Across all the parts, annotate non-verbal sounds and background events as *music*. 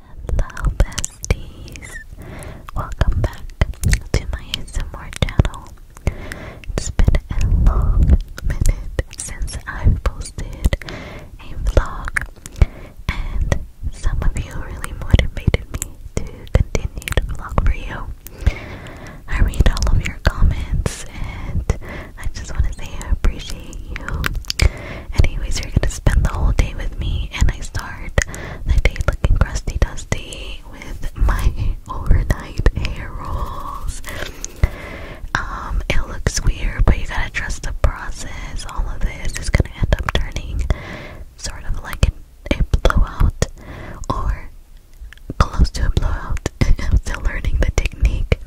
Hello besties! Welcome back to my ASMR channel. It's been a long minute since i posted a vlog and some of you really motivated me to continue to vlog for you. I read all of your comments and I just want to say I appreciate you. Anyways, you're gonna spend the whole day with me, and I start the day looking crusty dusty with my *laughs* overnight hair rolls. Um, it looks weird, but you gotta trust the process. All of this is gonna end up turning sort of like a blowout or close to a blowout. *laughs* I'm still learning the technique.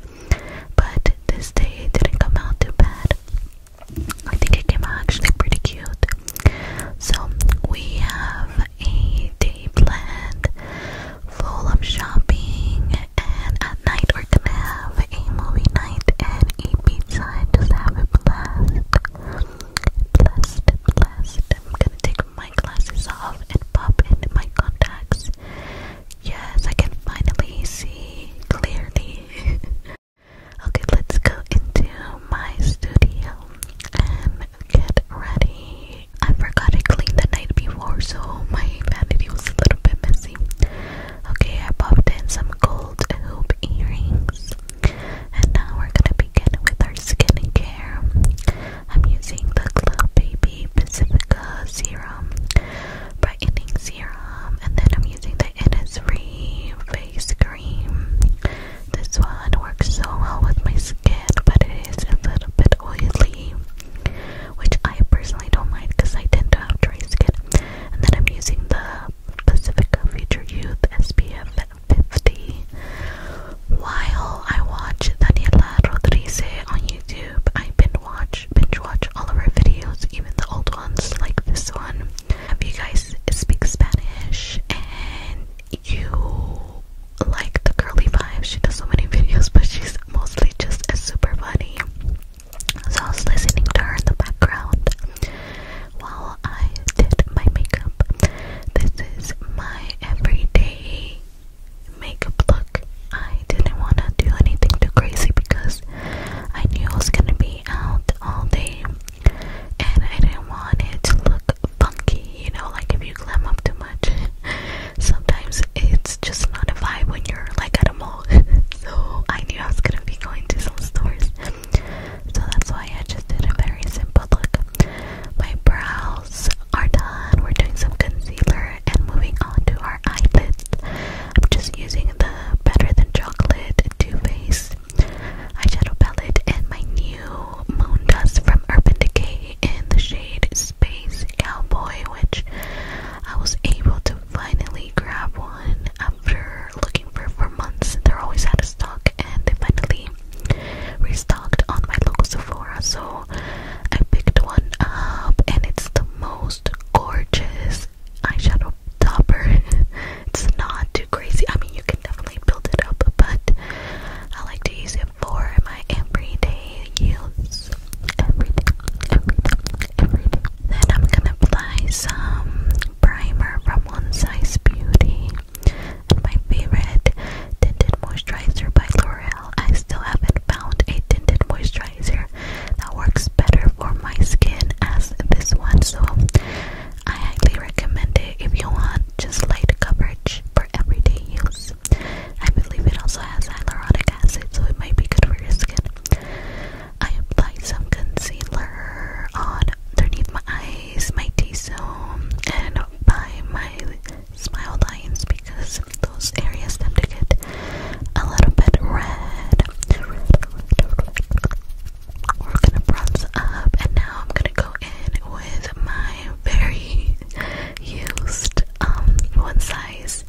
But this day didn't come out too bad. I think it came out actually pretty cute. So we have a day planned full of shopping and at night we're gonna have a movie night and a pizza and just have a blast. Blessed, blessed. I'm gonna take my glasses off and pop in my contacts Yes, I can finally see clearly. *laughs* okay, let's go into my studio and get ready. I forgot I cleaned the night before, so my vanity was a little bit messy. Okay, I popped in some gold hoop earrings, and now we're gonna begin with our skincare. I'm using the Glow Baby Pacifica Serum brightening serum, and then I'm using the Innisfree face cream. This one works so well with my skin, but it is a bit oily, which I personally don't mind because I tend to have dry skin. And then I'm using the Pacifica Future Youth SPF 50. While I watch Daniela Rodriguez on YouTube, I've been watch, binge watch all of our videos, even the old ones like this one. If you guys speak Spanish and you like the girly vibe, she does so many *laughs* videos, but she's mostly just super funny. So I was listening to her in the background while I did my makeup. This is my everyday makeup look. I didn't want to do anything too crazy because I knew I was gonna be out all day and I didn't want it to look funky, you know, like if you glam up too much. *laughs* Sometimes it's just not a vibe when you're like at a mall. *laughs* so I knew I was gonna be going to some stores. So that's why I just did a very simple look. My brows are done. We're doing some concealer and moving on to our eyelids. I'm just using the Better Than Chocolate Too Faced eyeshadow palette and my new Moon Dust from Urban Decay in the shade Space Cowboy, which I was able to finally grab one after looking for for months. They're always out of stock, and they finally restocked on my local Sephora. So I picked one up, and it's the most gorgeous eyeshadow topper. *laughs* it's not too crazy. I mean, you can definitely build it up, but I like to use it for my everyday use. Then I'm gonna apply some primer from One Size Beauty. And my favorite tinted moisturizer by L'Oreal. I still haven't found a tinted moisturizer that works better for my skin as this one. So I highly recommend it if you want just light coverage for everyday use. I believe it also has hyaluronic acid, so it might be good for your skin. I apply some concealer on underneath my eyes, my T-zone, and by my smile lines because those areas tend to get a little bit red. We're gonna bronze up, and now I'm gonna go in with my very used um, one size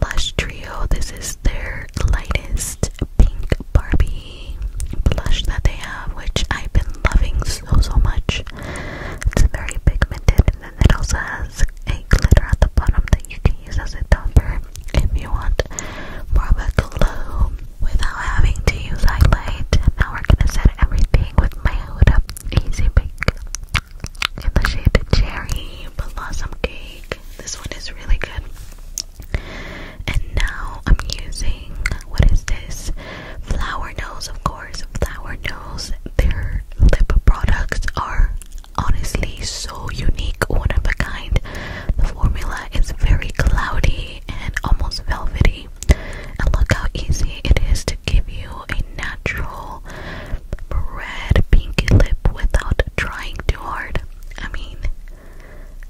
blush trio. This is their lightest pink Barbie blush that they have, which I've been loving so so much. It's very pigmented it also has a glitter at the bottom that you can use as a topper if you want more of a glow without having to use highlight. Now we're gonna set everything with my Huda Easy Bake in the shade Cherry Blossom Cake. This one is really good. And now I'm using what is this? Flower Nose, of course. Flower Nose. Their lip products are honestly so unique, one of a kind. The formula is very cloudy and almost velvety. And look how easy it is to give you a natural red pink lip without trying too hard. I mean,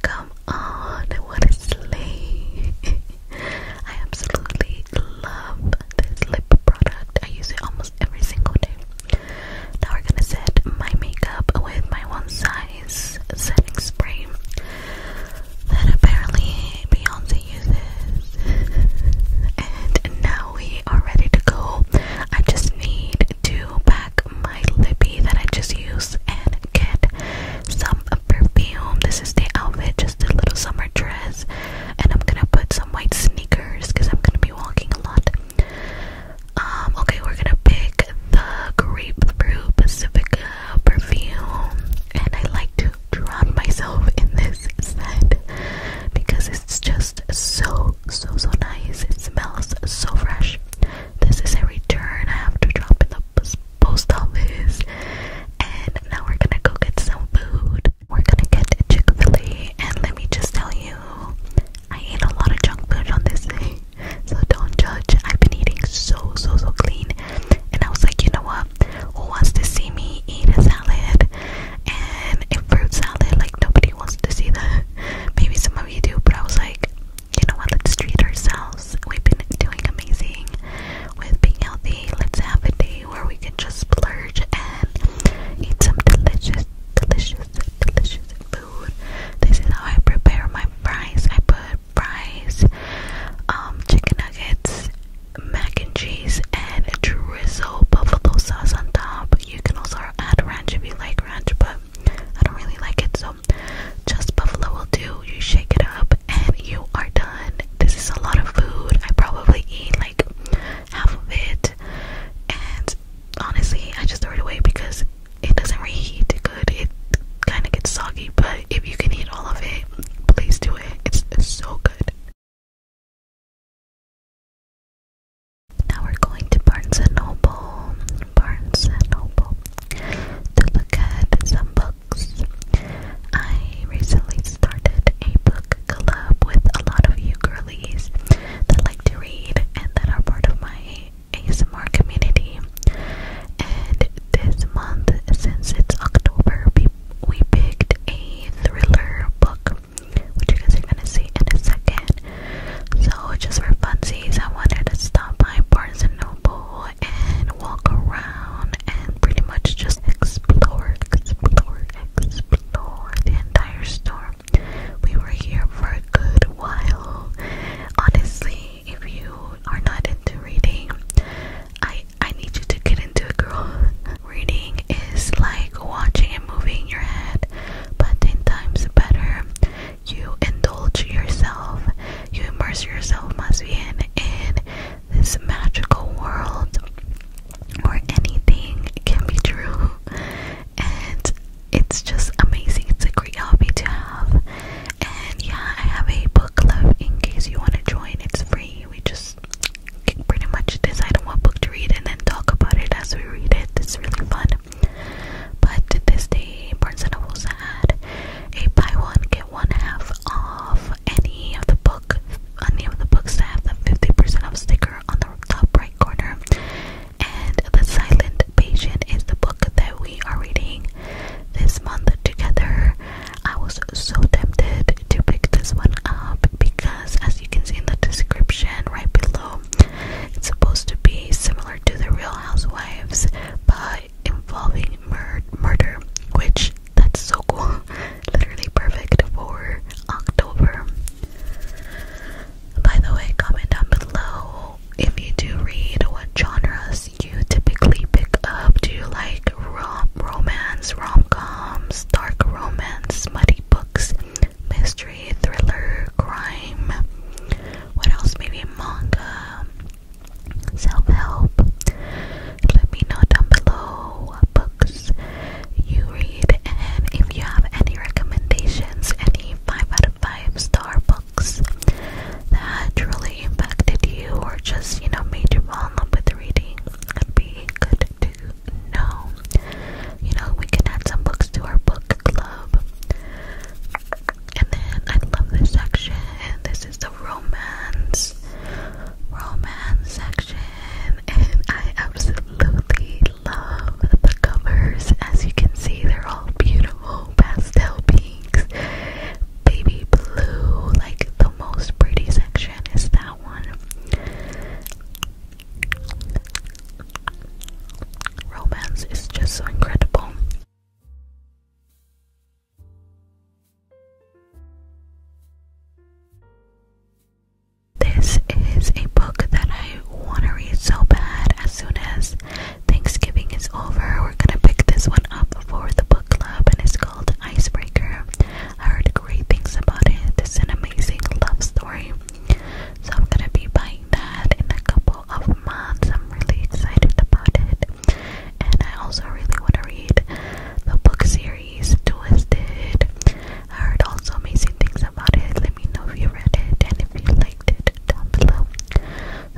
come on, what *laughs* I absolutely love this lip product. I use it almost every single day. Now we're gonna set my makeup with my one size setting spray that apparently Beyonce uses. and now we are ready to go. I just need to pack my lippy that I just used and get some perfume. This is the outfit, just a little summer dress. And I'm gonna put some white sneakers because I'm gonna be walking a lot. Um, okay, we're gonna pick the grapefruit Pacifica perfume, and I like to drown myself in this scent because it's just so so so nice. It smells so fresh. This is a return I have to drop in the post office, and now we're gonna go get some food. We're gonna get Chick-fil-A and let me just tell you, I ate a lot of junk food on this day, so don't judge. I've been eating so so so clean, and I was like, you know what? Who wants to see me eat a salad and a fruit salad? Like nobody wants to see that. *laughs* Maybe some of you do, but I was like, you know what? Let's treat ourselves. We've been doing amazing with being healthy. Let's have a day where we can just splurge and eat some delicious, delicious delicious food. This is how I prepare my fries. I put fries, um, chicken nuggets, mac and cheese, and drizzle buffalo sauce on top. You can also add ranch if you like ranch, but I don't really like it, so just buffalo will do. You shake it up, and you are done. This is a lot of food. I probably eat like half of it, and honestly, I just throw it away because it doesn't reheat good. It kind of gets soggy, but if you can eat all of it, please do it. It's, so good. Now we're going to Barnes and Noble, Barnes and Noble, to look at some books. I recently started a book book club with a lot of you girlies that like to read and that are part of my ASMR community. And this month, since it's October, we, we picked a thriller book, which you guys are gonna see in a second. So, just for funsies, I wanted to stop by Barnes and Noble and walk around and pretty much just explore, explore, explore the entire store. We were here for a good while. Honestly, if you are not into reading, I I need you to get into it, girl. Reading is like watching a movie in your head, but ten times better. You indulge yourself, you immerse yourself, must be in in this magical world where anything can be true and it's just amazing. It's a great hobby to have. And yeah, I have a book club in case you want to join. It's free. We just pretty much decide on what book to read and then talk about it as we read it. It's really fun. But this day, Barnes & Noble's had a buy one get one half off any of the book, any of the books that have the 50% off sticker on the top right corner and The Silent Patient is the book that we are reading this month together. I was so tempted to pick this one up because, as you can see in the description right below, it's supposed to be similar to The Real Housewives but involving mur murder, which that's so cool. *laughs* Literally perfect for October. By the way, comment down below if you do read what genres you typically pick up. Do you like rom romance, rom coms, dark romance, muddy books, mystery, thriller, crime? What else? Maybe manga, self help. Let me know down below what books you read, and if you have any recommendations, any 5 out of 5 star books that truly impacted you or just, you know, made you fall in love with reading, would be good to know. You know, we can add some books to our book club. And then I love this section. This is the romance romance section and I absolutely love the covers. As you can see, they're all beautiful pastel pinks, baby blue. Like the most pretty section is that one. Romance is just so incredible. This is a book that I want to read so bad as soon as Thanksgiving is over. We're going to pick this one up for the book club, and it's called Icebreaker. I heard great things about it. It's an amazing love story. So I'm going to be buying that in a couple of months. I'm really excited about it. And I also really want to read the book series Twisted. I heard also amazing things about it. Let me know if you read it and if you liked it down below.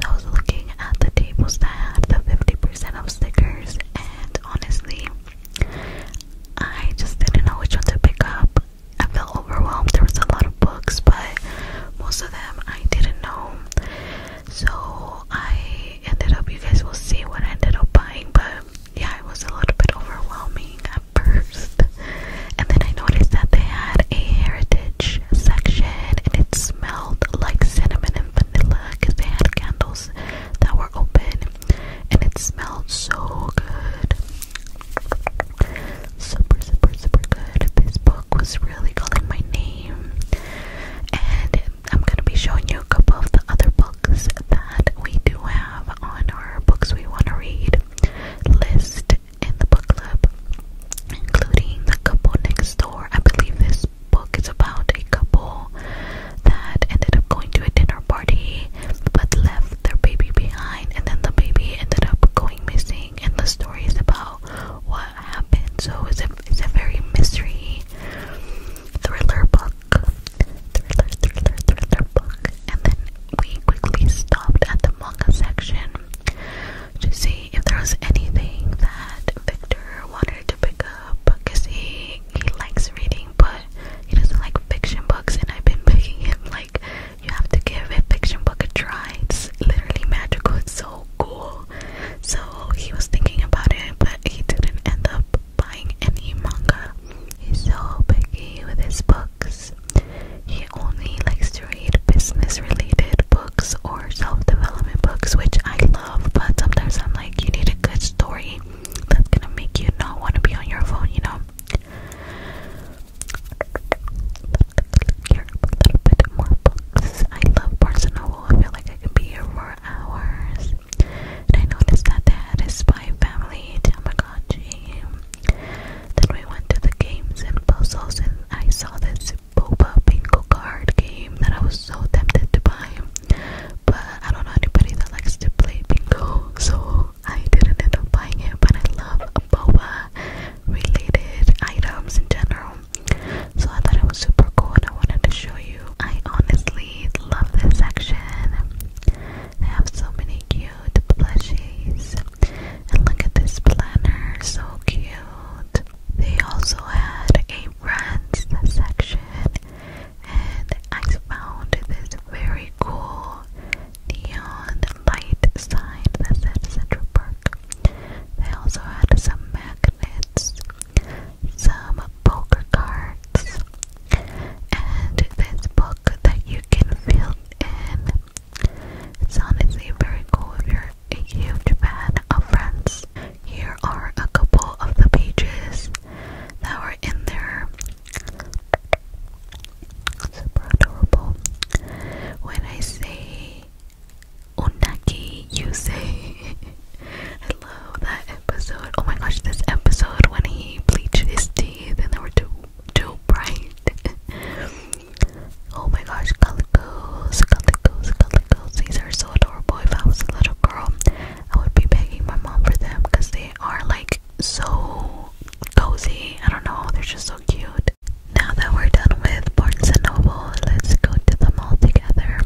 I was looking at the tables that had the 50% of stickers, and honestly, I just didn't know which one to pick up. I felt overwhelmed. There was a lot of books, but most of them I didn't know. So I ended up, you guys will see what I ended up buying, but yeah, it was a little bit overwhelming first. And then I noticed that they had a heritage section and it smelled like cinnamon and vanilla because they had candles that were open and it smelled so good. Super, super, super good. This book was really calling my name. And I'm going to be showing you a couple of the other books that we do have on our books we want to read list in the book club, including The Couple Next Door. I believe this book is about a couple that ended up going to a dinner party but left their baby behind, and then the baby ended up going missing. And the story is about what happened. So it's a, it's a very mystery thriller book. Thriller, thriller, thriller book. And then we quickly stopped at the manga section to see if there was anything that Victor wanted to pick up because he, likes reading, but he doesn't like fiction books. And I've been begging *laughs* him, like, you have to give a fiction book a try. It's literally magical, it's so cool. So he was thinking about it, but he didn't end up buying any manga. He's so picky with his books. He only likes to read business related books or self development books, which I love, but sometimes I'm like, you need a good story that's gonna make you not want to be on your phone, you know? Here, a little bit more books. I love Barnes and Noble. I feel like I could be here for hours. And I noticed that they had a spy family, Tamagotchi. Then we went to the games and puzzles, and I saw this boba bingo card game that I was so tempted to buy. But I don't know anybody that likes to play bingo, so I didn't end up buying it. But I love boba related items in general. So I thought it was super cool and I wanted to show you. I honestly love this section. They have so many cute plushies. And look at this planner, so cute. They also had a friends section, and I found this very cool neon light sign that said Central Park. They also had some magnets, some poker cards, and this book that you can fill and it's honestly very cool if you're a huge fan of Friends. Here are a couple of the pages that were in there. Super adorable. When I say Unagi, you say. *laughs* I love that episode. Oh my gosh, this episode when he bleached his teeth and there were two too bright. oh my gosh, calicos, calicos, calicos. These are so adorable. If I was a little girl, I would be begging my mom for them because they are like so cozy. I don't know, they're just so cute. Now that we're done with Barnes and Noble, let's go to the mall together.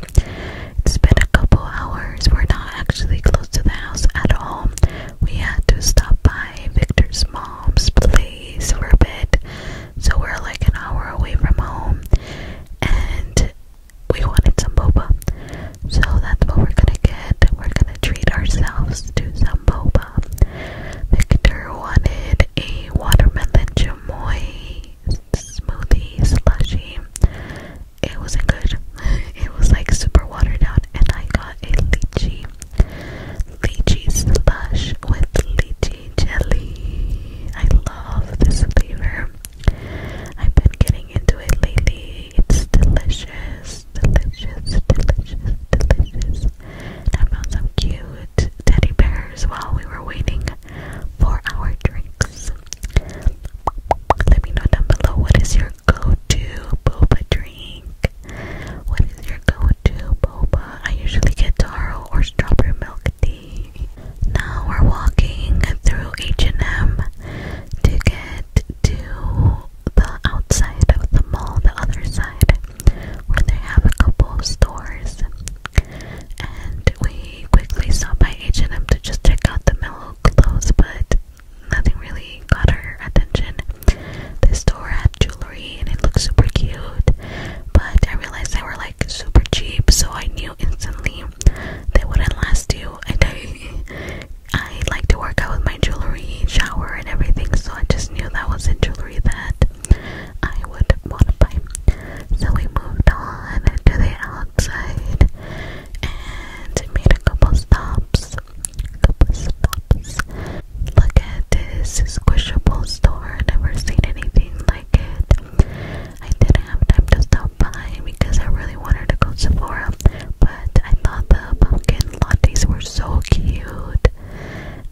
It's been a couple hours. We're not actually close to the house at all. We had to stop by by Victor's mom's place for a bit. So we're like an hour away from home and we wanted some boba. So that's what we're gonna get. We're gonna treat ourselves to some boba. Victor wanted a watermelon chamoy smoothie slushy. It wasn't good. *laughs* It was like super watered down and I got a lychee Lychee slush with lychee jelly. I love this flavor. I've been getting into it lately. It's delicious, delicious, delicious, delicious. I found some cute teddy bears while we were waiting for our drinks. Let me know down below what is your go-to boba drink. What is your go-to boba? I usually get taro or strawberry milk tea. Now we're walking through H&M to get to the outside of the mall, the other side, where they have a couple of stores. And we quickly stopped by H&M to just check out the mellow clothes, but nothing really caught her attention. This store had jewelry and it looked super cute, but I realized they were like super cheap, so I knew instantly they wouldn't last you And day. *laughs* I like to work out with my jewelry, shower, and everything, so I just knew that wasn't jewelry that I would want to buy. So we moved on to the outside and made a couple stops. Look at this squishable store. Never seen anything like it. I didn't have time to stop by because I really wanted to go to Sephora, but I thought the pumpkin lattes were so cute.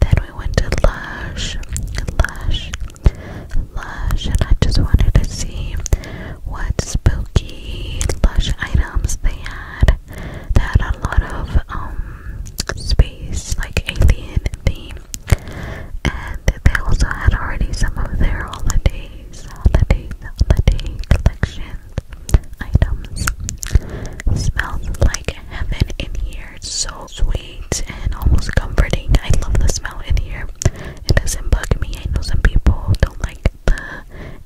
Then we went to Lush, Lush, Lush, and I just wanted to see what spooky Lush items they had that had a lot of um space like alien theme and they also had already some of their holidays holiday holiday collections items smells like heaven in here it's so sweet and almost comforting I love the smell in here it doesn't bug me I know some people don't like the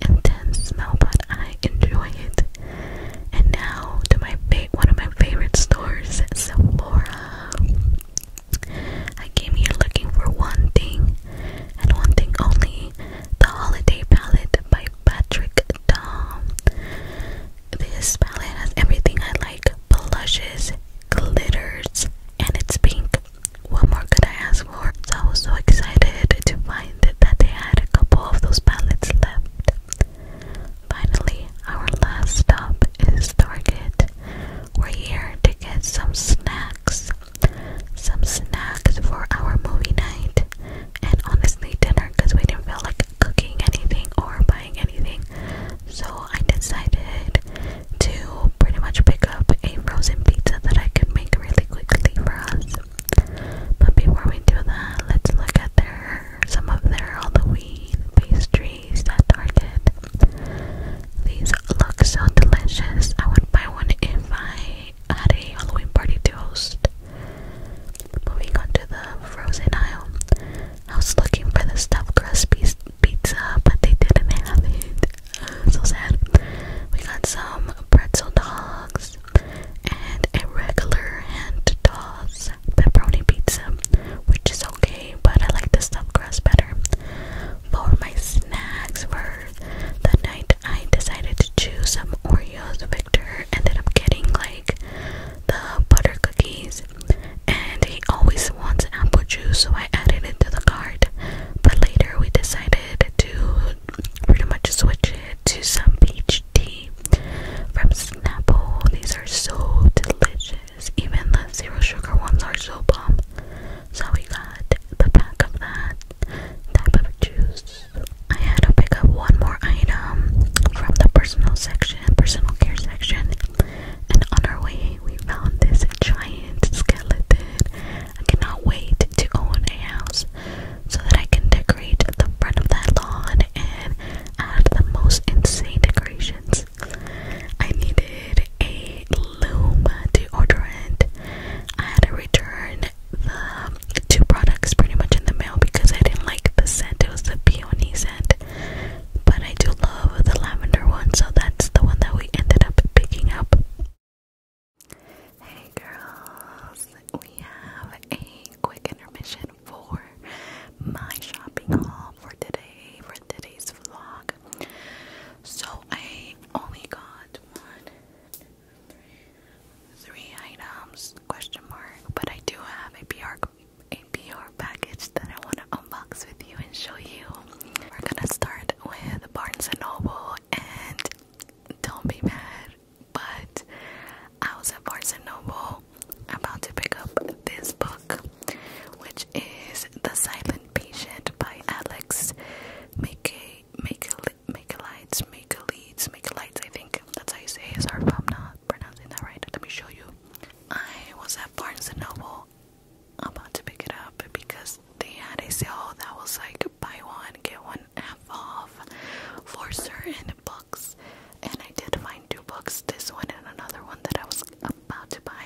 intense smell, but I enjoy it. And now to my one of my favorite stores, Sephora. I came here looking for one thing, and one thing only: the Holiday Palette by Patrick Dom. This palette has everything I like: blushes, glitters, and it's pink. What more could I ask for? So so excited to find that they had a couple of those pallets left. Finally, our last stop is Target. We're here to get some snacks. Some snacks for our movie night and honestly dinner because we didn't feel like cooking anything or buying anything. So I decided to pretty much pick up a frozen pizza that I could make really quickly for us. But before we do that, let's look at their some of their Halloween pastries at Target. These look so delicious. I would buy one if I had a Halloween party to host. Moving on to the frozen aisle. I was looking for the stuffed crust pizza, but they didn't have it. So sad. We got some pretzel dogs, and a regular hand toss pepperoni pizza, which is okay, but I like the stuffed crust better. For my snacks for the night, I decided to choose some Oreos. Victor ended up getting like the butter cookies, and he always wants apple juice, so I added it to the cart. But later, we decided to pretty much switch it to some peach tea from Snapple. These are so delicious. Even the zero sugar ones are so bomb. So we got the pack of that type of juice. I had to pick up one more item from the personal section, personal care section. And on our way, we found this giant skeleton. I cannot wait to own a house so that I can decorate the front of that lawn and add the most insane decorations. I needed a loom deodorant. I had to return the two products pretty much in the mail because I didn't like the scent. It was the peony scent. But I do love the lavender one, so that's the one that we ended up picking up. Hey girls, we have a quick intermission for my shopping haul for today, for today's vlog. So I only got one, three items, question mark, but I do have a PR, a PR package that I want to unbox with you and show you. We're gonna start with Barnes & Noble and don't be mad but I was at Barnes and Noble about to pick up this book, which is The Silent Patient by Alex Make a Make a Make a Lights Make a Leads Make a Lights. I think that's how you say it. Is our if not pronouncing that right. Let me show you. I was at Barnes and Noble I'm about to pick it up because they had a sale that was like buy one get one one off for certain books, and I did find two books this one and another one that I was about to buy.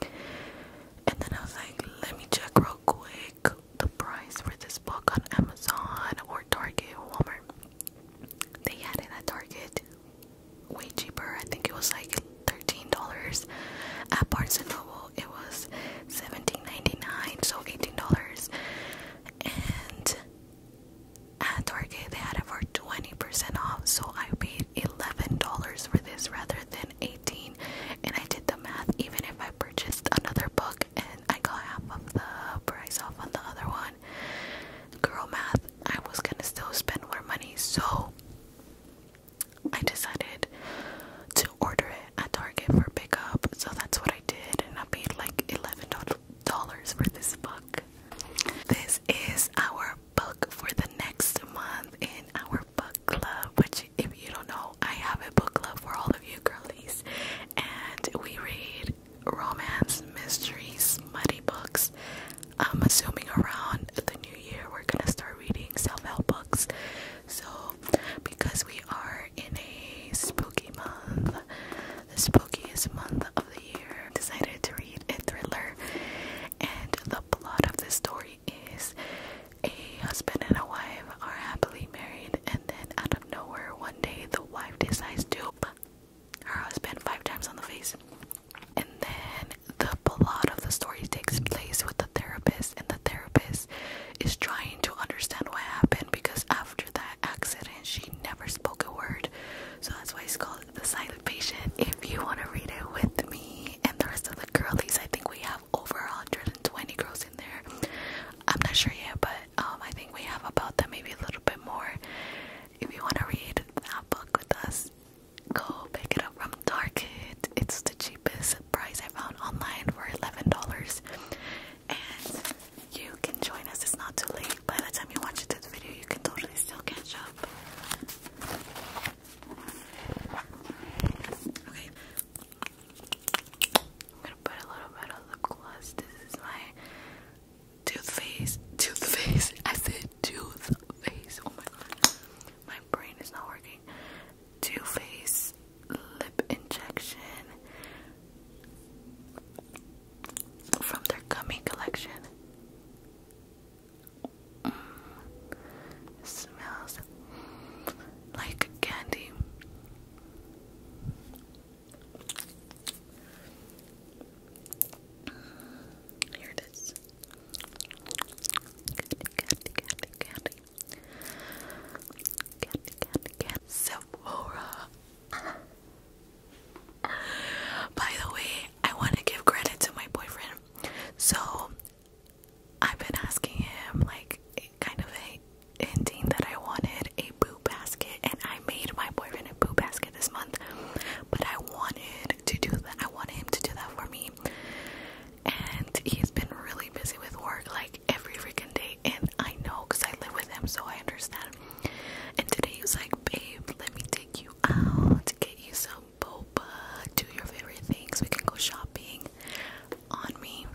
And then I was like, let me check real quick the price for this book on Amazon or Target Walmart. They had it at Target way cheaper. I think it was like $13. At Barnes and Noble it was $17.99, so $18. And at Target, they had it for 20% off, so I paid $11 for this rather than 18 And I did the math, even if I purchased another book and I got half of the price off on the other one, girl math, I was gonna still spend more money, so I decided to order it at Target for pickup, so that's what I did, and I paid like $11 dollars for this book. This is our book for the next month in our book club, which if you don't know, I have a book club for all of you girlies. And we read romance, mysteries, muddy books. I'm assuming around the new year we're gonna start reading self-help books. So because we are in a spooky month, the spookiest month of the year, decided to read a thriller. And the plot of the story is a husband and a wife are happily married, and then out of nowhere, one day the wife decides to her husband five times on the face. And then the plot of the story takes place with the therapist, and the therapist is trying to understand what happened because after that accident. She never spoke a word. So that's why it's called The Silent Patient. If you want to read it with me and the rest of the girlies, I think we have over 120 girls in there. I'm not sure yet, but um, I think we have about that, maybe a little bit more. If you want to read that book with us, go pick it up from Target. It's the cheapest price I found online for $11 and you can join us. It's not too late. By the time you watch this video, you can totally still catch up. Okay. I'm gonna put a little bit of lip gloss. This is my toothface. Toothface. *laughs* I said toothface. Oh my god. My brain is not working. Too lip injection from their gummy collection. Mm. smells like candy. Mm, here it is. Candy, candy, candy, candy. Candy, candy, candy. Sephora. By the way, I want to give credit to my boyfriend. So I've been asking him, like, kind of a hinting that I wanted a boo basket, and I made my boyfriend a boo basket this month. But I wanted to do that. I wanted him to do that for me, and he's been really busy with work. Like every freaking day, and I know because I live with him, so I understand. And today he was like, Babe, let me take you out to get you some boba, do your favorite things. We can go shopping on me.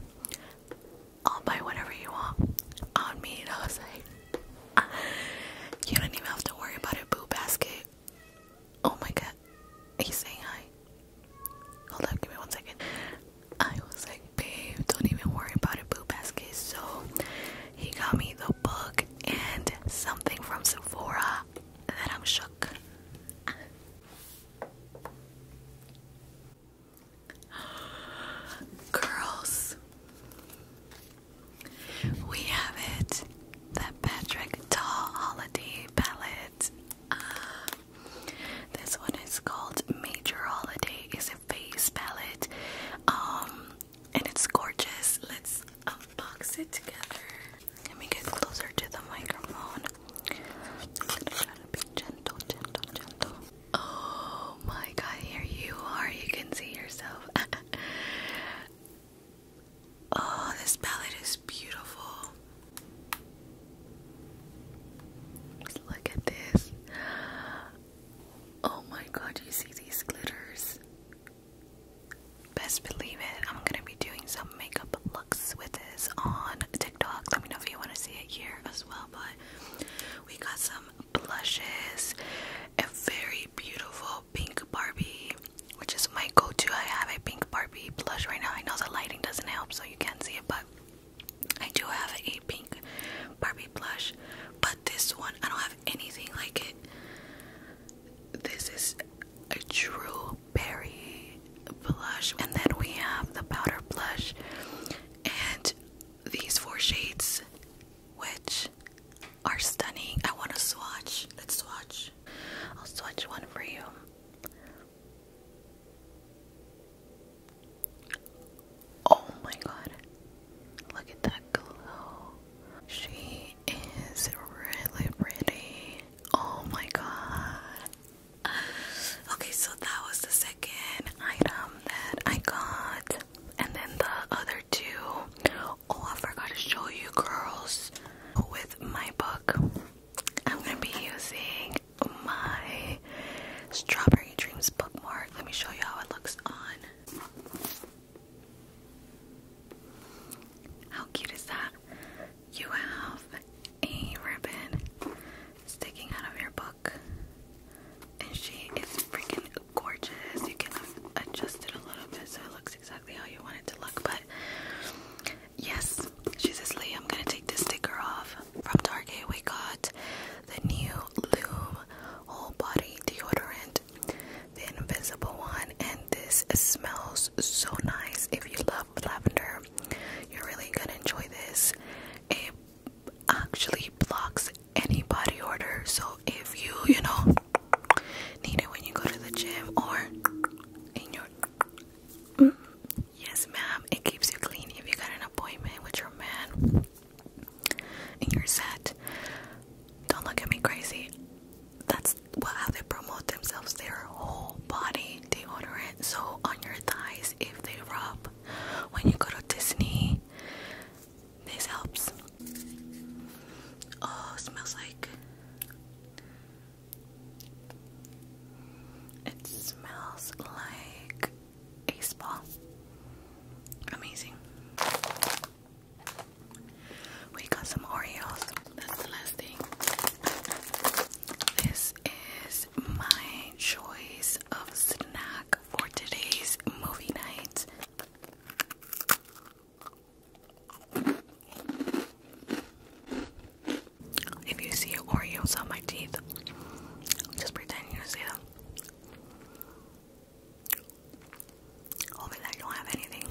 I'll buy whatever you want on me. And I was like, You don't even have to worry about a boo basket. Oh my god, he's saying hi. Hold up, give me one second. I was like, babe, don't even worry about it, boo basket. So he got me the book and something from Sephora that I'm shook. *gasps* Girls, we have it. The Patrick Doll Holiday Palette. Uh, this one is called Major Holiday face palette. Um, and it's gorgeous. Let's unbox it together. Let me get closer to the microphone. Oh my god, here you are. You can see yourself. *laughs* oh, this palette is beautiful. Look at this. Oh my god, you see these glitters? Best believe it, I'm gonna be doing some makeup looks with this on TikTok. Let me know if you want to see it here as well. But we got some blushes, a very beautiful pink Barbie, which is my go to. I have a pink Barbie blush right now. I know the lighting doesn't help, so you can't see it, but I do have a pink Barbie blush, but this one I don't have anything like it. This is a true berry blush, and then we have the powder blush and these four shades, which are stunning. I want to swatch. Let's swatch. I'll swatch one for you. Oh my god. Look at that glow. She is really pretty. Oh my god. Okay, so that was the second item that I got. And then the other two. Oh, I forgot to show you girls. With my book, I'm gonna be using my Strawberry Dreams this bookmark. Let me show you how it looks on. How cute is that? You have a ribbon sticking out of your book, and she is freaking gorgeous. You can adjust it a little bit so it looks exactly how you want it to look. But yes, she says, Lee, I'm gonna take this sticker off from Target. We got the new lube whole body deodorant the invisible one and this smells so nice if you love lavender you're really gonna enjoy this it actually blocks any body odor so if you you know need it when you go to the gym or in your mm, yes ma'am it keeps you clean if you got an appointment with your man and you're set. Don't look at me crazy. That's what how they promote themselves. Their whole body they it. So on your thighs, if they rub, when you go to Disney, this helps. Oh, smells like. It smells like ace Amazing. We got some Oreos. That's the last thing. This is my choice of snack for today's movie night. If you see Oreos on my teeth, just pretend you don't see them. Hopefully I don't have anything.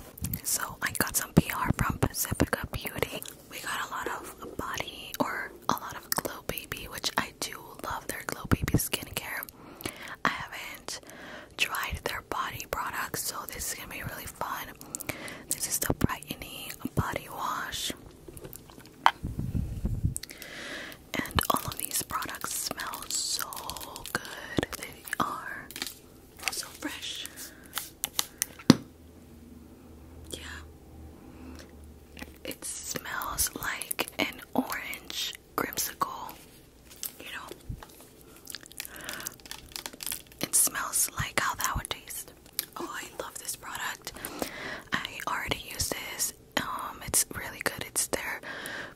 So I got some PR from Pacifica Beauty. We got a lot of body or a lot of Glow Baby, which I do love their Glow Baby skincare. I haven't tried their body products, so this is gonna be really fun. This is the brightening body wash. And all of these products smell so good. They are so fresh. Yeah. It smells like an orange grimsicle, you know. It smells like how that would taste. Oh, I love this product. I already use this um, it's really good. It's their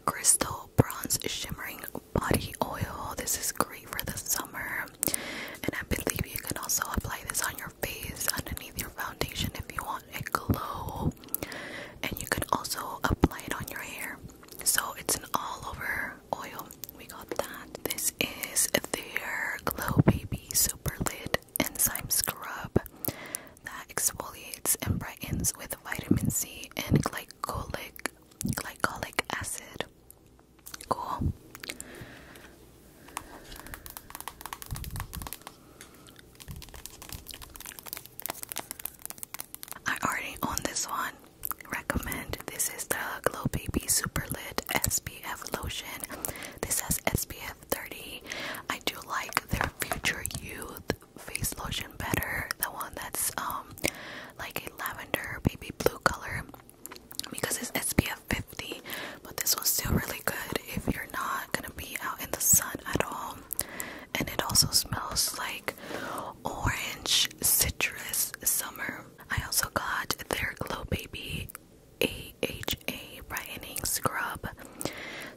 crystal bronze shimmering body oil. This is great for the summer, and I believe you can also apply this on your face underneath your foundation if you want a glow. And you can also apply it on your hair. So it's an all-over oil. We got that. This is their Glow Baby Super Lid enzyme scrub that exfoliates and brightens with vitamin C and glycolic glycolic acid. Cool. I already own this one. Recommend this is the Glow Baby Super Lit SPF lotion. This has SPF 30. I do like their Future Youth face lotion better, the one that's um like a lavender baby blue color because it's SPF 50. But this one's still really good if you're not gonna be out in the sun at all. And it also smells like orange citrus summer. I also got their Glow Baby AHA brightening scrub.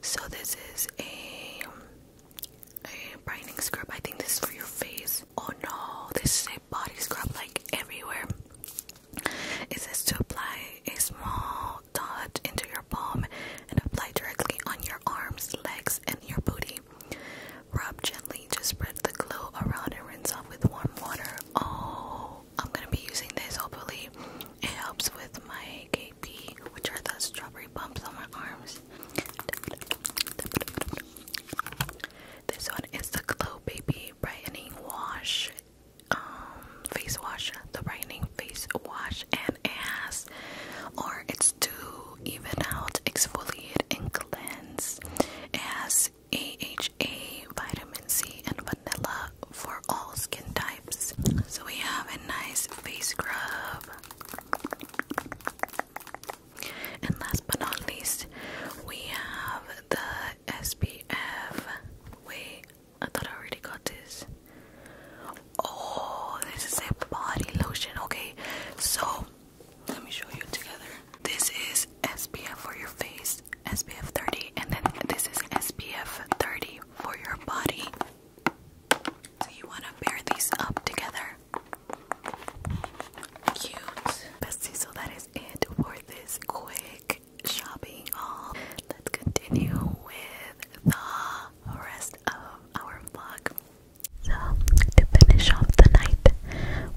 So this is a um, a brightening scrub. I think this is for your face. Oh no, this is a body scrub like everywhere. It says to apply a small dot into your palm and apply directly on your arms, legs, and your booty. Rub gently to spread the glow around and rinse off with warm water. Oh, I'm gonna be using this. Hopefully, it helps with my which are the strawberry bumps on my arms. This one is the Glow Baby Brightening Wash, um, face wash, the brightening face wash and ass, or it's to even out, exfoliate, and cleanse. It has AHA, vitamin C, and vanilla for all skin types. So we have a nice face scrub. And last but not least, we have the SPF. Wait, I thought I already got this. Oh, this is a body lotion. Okay, so let me show you together. This is SPF for your face, SPF 30, and then this is SPF 30 for your body. So you want to pair these up together. Cute. Bestie, so that is it for this quick shopping haul. Let's continue with the rest of our vlog. So, to finish off the night,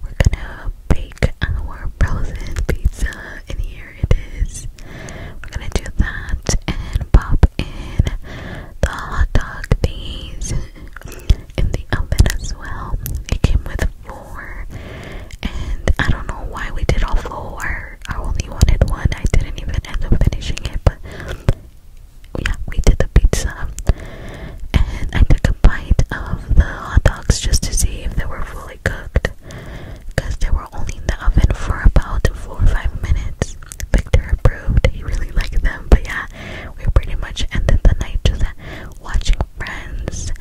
we're gonna bake our frozen pizza, and here it is. We're gonna do that and pop in the hot dog these in the oven as well. It came with four, and I don't know why we did all four. I only wanted one. I didn't even end up finishing it, but yeah, we did the pizza, and I took a bite of the hot dogs just to see if they were fully cooked because they were only in the oven for about four or five minutes. Victor approved, he really liked them, but yeah, we pretty much ended the night just watching friends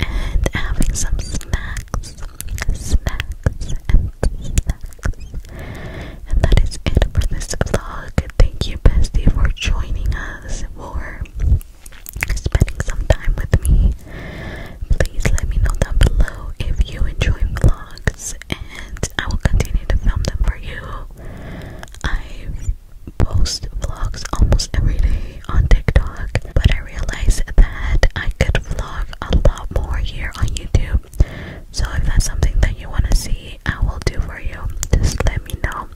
and having some snacks. Snacks and snacks. And that is it for this vlog. Thank you, Bestie, for joining us, for spending some time with me. Please let me know down below if you enjoy vlogs and I will continue to film them for you. I post vlogs almost every day on TikTok, but I realize that I could vlog a lot more here on YouTube. So if that's something that you want to see, I will do for you. Just let me know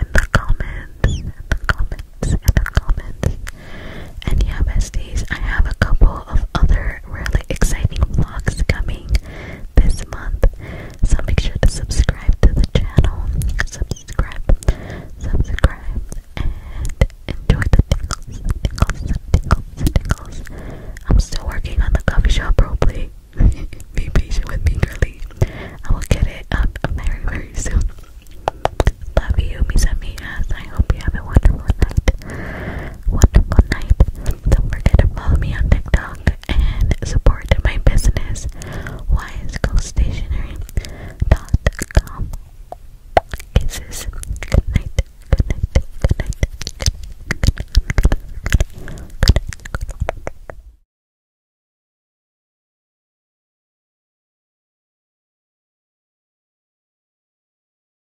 in the comments, the comments, in the comments. And yeah, besties, I have a couple of other really exciting vlogs coming this month. So make sure to subscribe to the channel. Subscribe, subscribe, and enjoy the tingles, tingles, tingles, tingles. I'm still working on the coffee shop probably. *laughs* Be patient with me, girly. I will get it up very, very soon. Love you, mis amigas. I hope you have a wonderful night wonderful night. Don't forget to follow me on TikTok and support my business, wisecostationery.com. Kisses. Good night. Good night. Good night. Good night. Good night.